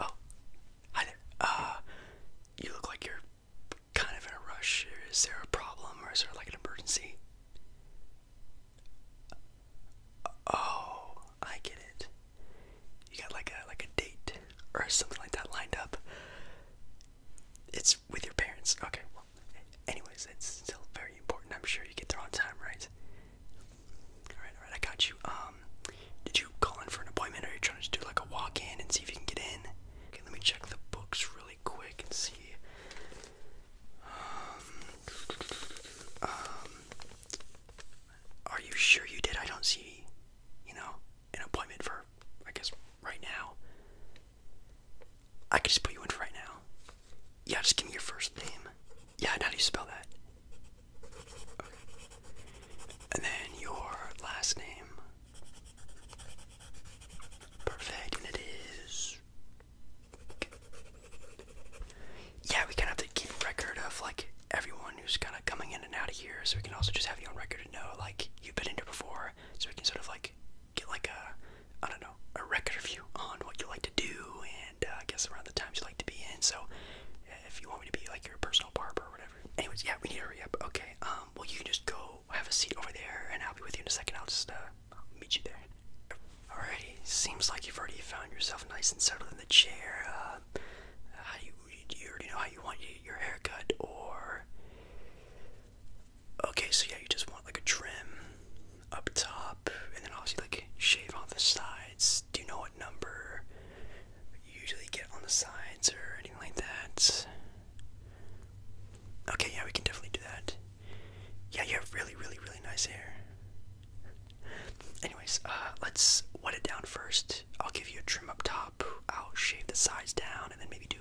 Oh, hi uh, you look like you're kind of in a rush. Is there a problem or is there like an emergency? Oh, I get it. You got like a like a date or something like that lined up. It's with your parents. Okay. Well, anyways, it's still very important. I'm sure you get there on time, right? Alright, alright, I got you. Um, did you call in for an appointment or are you trying to just do like a walk in and see if you can get in? Okay, let me check the books really quick and see. Um, um, are you sure you did? I don't see, you know, an appointment for, I guess, right now. I can just put you in for right now. Yeah, just give me your first name. Yeah, and how do you spell that? And then your last name. Perfect, and it is. Yeah, we kind of have to keep record of like everyone who's kind of coming in and out of here, so we can also just have you on record to know like you've been in here before, so we can sort of like get like a, I don't know, a record review on what you like to do and uh, I guess around the times you like to be in. So if you want me to be like your personal barber or whatever. Anyways, yeah, we need to hurry up. Okay, um, well, you can just go have a seat over there and I'll be with you in a second. I'll just, uh, meet you there. Alrighty, seems like you've already found yourself nice and settled in the chair. Uh, how do you, you already know how you want your haircut, or Okay, so yeah, you just want like a trim up top, and then obviously like shave off the sides. Do you know what number usually get on the sides or anything like that? Okay, yeah, we can definitely do that. Yeah, you have really, really, really nice hair. Anyways, uh, let's wet it down first. I'll give you a trim up top. I'll shave the sides down, and then maybe do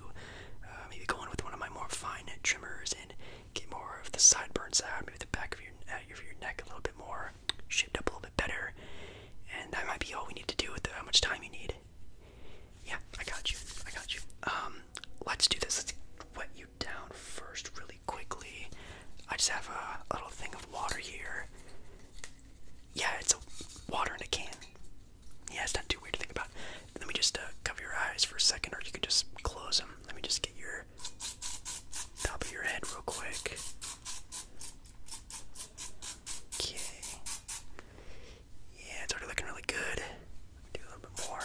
uh, maybe go in with one of my more fine trimmers and get more of the sideburns out, maybe the back of your uh, your, neck a little bit more shaped up a little bit better. And that might be all we need to do with how much time you need. Yeah, I got you. I got you. Um, let's do this. Let's wet you down first, really quickly. I just have a, a little thing of water here. Yeah, it's a water in a can. Yeah, it's not too weird to think about. Let me just uh, cover your eyes for a second, or you can just close them. Let me just get your top of your head real quick. Okay. Yeah, it's already looking really good. Do a little bit more.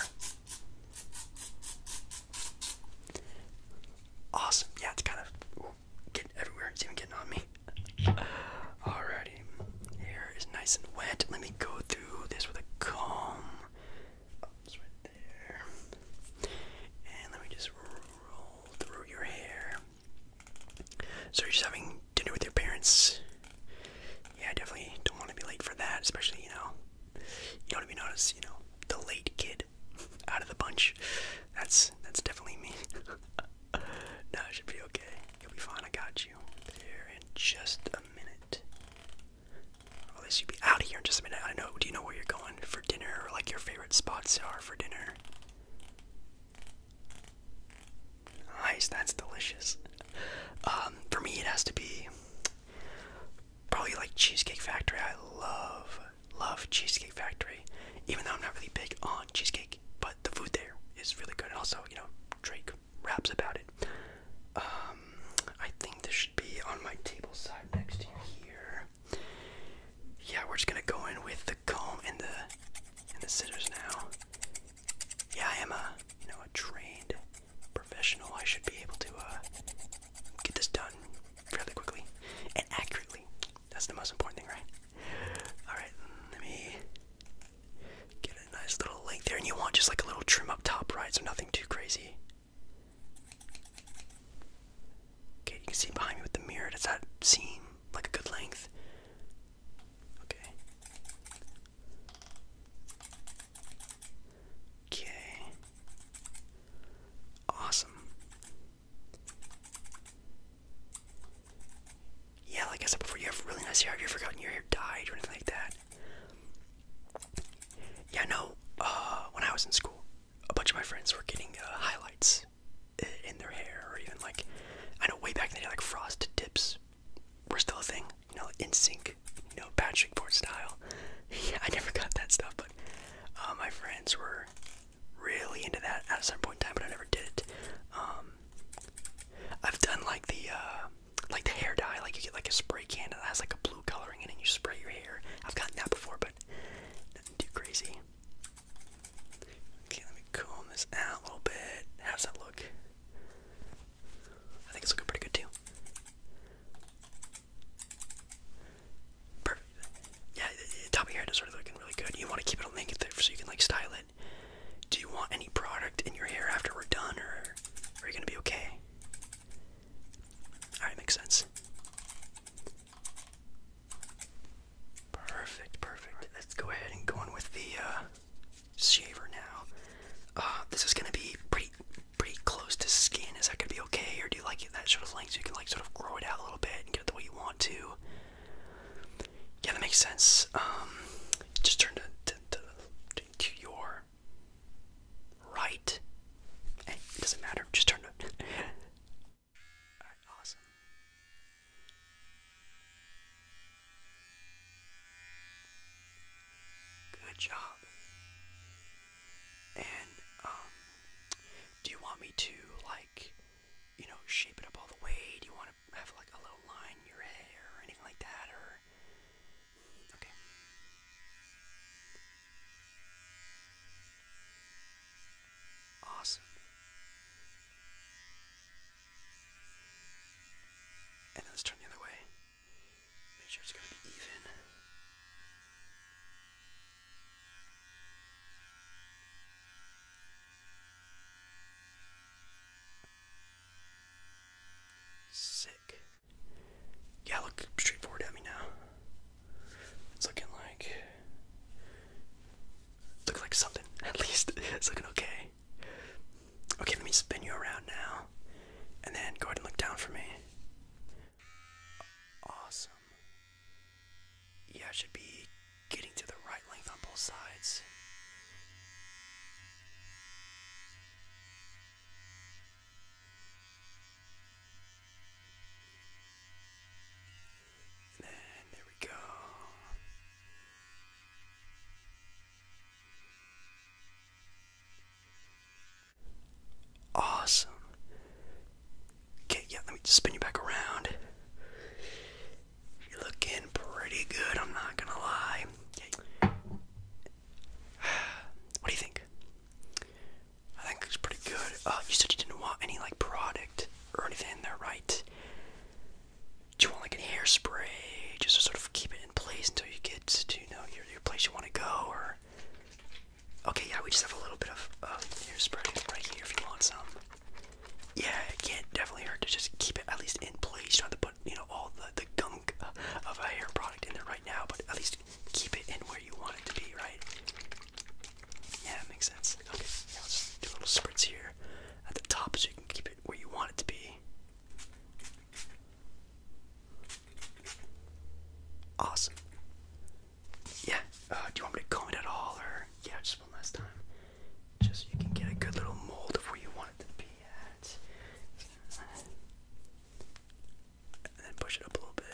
Awesome. Yeah, it's kind of getting everywhere. It's even getting on me. Alrighty. Hair is nice and wet. Let me go through this with a comb. And let me just roll through your hair. So you're just having dinner with your parents. Yeah, I definitely don't want to be late for that, especially, you know, you don't even notice, you know, the late kid out of the bunch. That's that's definitely me. no, should be okay. You'll be fine. I got you. There in just a minute. Or at least be out of here in just a minute. I know. Do you know where you're going for dinner like your favorite spots are for dinner? Nice. That's delicious. Um, for me, it has to be probably like Cheesecake Factory. I love, love Cheesecake Factory. Even though I'm not really big on cheesecake, but the food there is really good. also, you know, Drake raps about it. Um, I think this should be on my table side next to here. Yeah, we're just gonna go in with the comb and the and the scissors now. Yeah, I am a you know a trained professional. I should be able to uh, get this done fairly quickly and accurately. That's the most important thing, right? Alright, let me get a nice little length there. And you want just like a little trim up top, right? So nothing too crazy. Okay, you can see behind me with the mirror. Does that seem like a good length? Okay. Okay. Awesome. Yeah, like I said before, you have really nice hair. Have you ever gotten your hair dyed or anything like that? Yeah, no. Uh, when I was in school, a bunch of my friends were getting uh, highlights in their hair, or even like, I know way back in the day, like frosted tips were still a thing. You know, in sync, you know, Patrick Port style. Yeah, I never got that stuff, but uh, my friends were really into that at some point in time, but I never did it. Um, I've done like the uh, like the hair dye, like you get like a spray can that has like a blue coloring in it, and you spray your hair. I've gotten that before, but nothing too crazy. Okay, let me comb this out a little bit. How does that look? I think it's looking pretty good too. Yeah, the top of your head is already looking really good. You want to keep it all naked there so you can like style it. Do you want any product in your hair after we're done, or are you gonna be okay? All right, makes sense. Perfect, perfect. let's go ahead and go on with the uh, shaver now. Uh, this is gonna be pretty, pretty close to skin. Is that gonna be okay, or like that sort of length so you can like sort of grow it out a little bit and get it the way you want to. Yeah, that makes sense. Um, just turn to, to, your right. Eh, doesn't matter. Just turn awesome. Good job. And um, do you want me to like you know shape it up all the way? Do you want to have like a little line in your hair or anything like that or okay. Awesome. And let's turn the other way. Make sure it's going to be even. Sick. Yeah, look straight forward at me now. It's looking like. Look like something. At least it's looking okay. Okay, let me spin you around now. And then go ahead and look down for me. Awesome. Yeah, I should be getting to the right length on both sides. then there we go. Awesome. Okay, yeah, let me spin you back around. You're looking pretty good, I'm not gonna lie. What do you think? I think it's pretty good. Uh, you said you didn't want any like product or anything in there, right? Do you want like a hairspray just to sort of keep it in place until you get to you know your place you want to go or okay yeah we just have a little bit of uh, hair spray right here if you want some yeah it can definitely hurt to just keep it at least in place trying to put you know all the the gunk of a hair product in there right now but at least keep it in where you want it to be right yeah it makes sense okay yeah, let's do a little spritz here at the top so you can keep it where you want it to be Awesome. Yeah, uh, do you want me to comb it at all, or yeah, just one last time? Just so you can get a good little mold of where you want it to be at. And then push it up a little bit.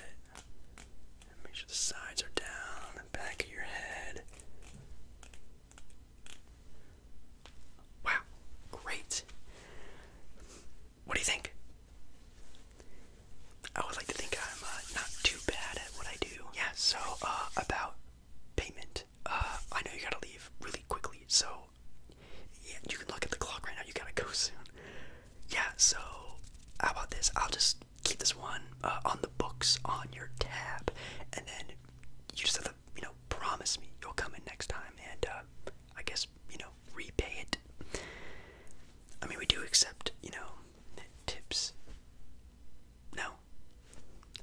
make sure the sides are down, the back of your head. Wow, great. What do you think? I would like to think I'm uh, not too bad at what I do. Yeah, so uh, about payment. Uh, I know you gotta leave really quickly, so yeah, you can look at the clock right now. You gotta go soon. Yeah, so how about this? I'll just keep this one on the books on your tab, and then you just have to you know, promise me you'll come in next time and, uh, I guess, you know, repay it. I mean, we do accept, you know, tips. No?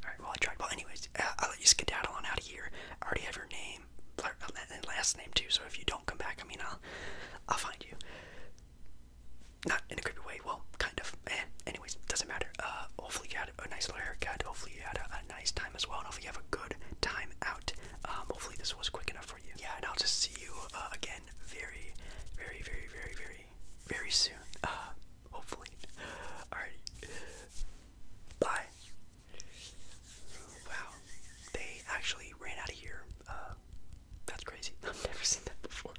Alright, well, I tried. Well, anyways, uh, I'll let you skedaddle on out of here. I already have your name uh, last name, too, so if you don't come back, I mean, I'll, I'll find you. Not in a creepy way, well, kind of. Eh, anyways, doesn't matter. Uh, hopefully you had a nice little haircut. Hopefully you had a, a nice time as well. And hopefully you have a good time out. Um, hopefully this was quick enough for you. Yeah, and I'll just see you uh, again very, very, very, very, very, very soon. Uh, hopefully. Alrighty. Bye. Wow. They actually ran out of here. Uh, that's crazy. I've never seen that before.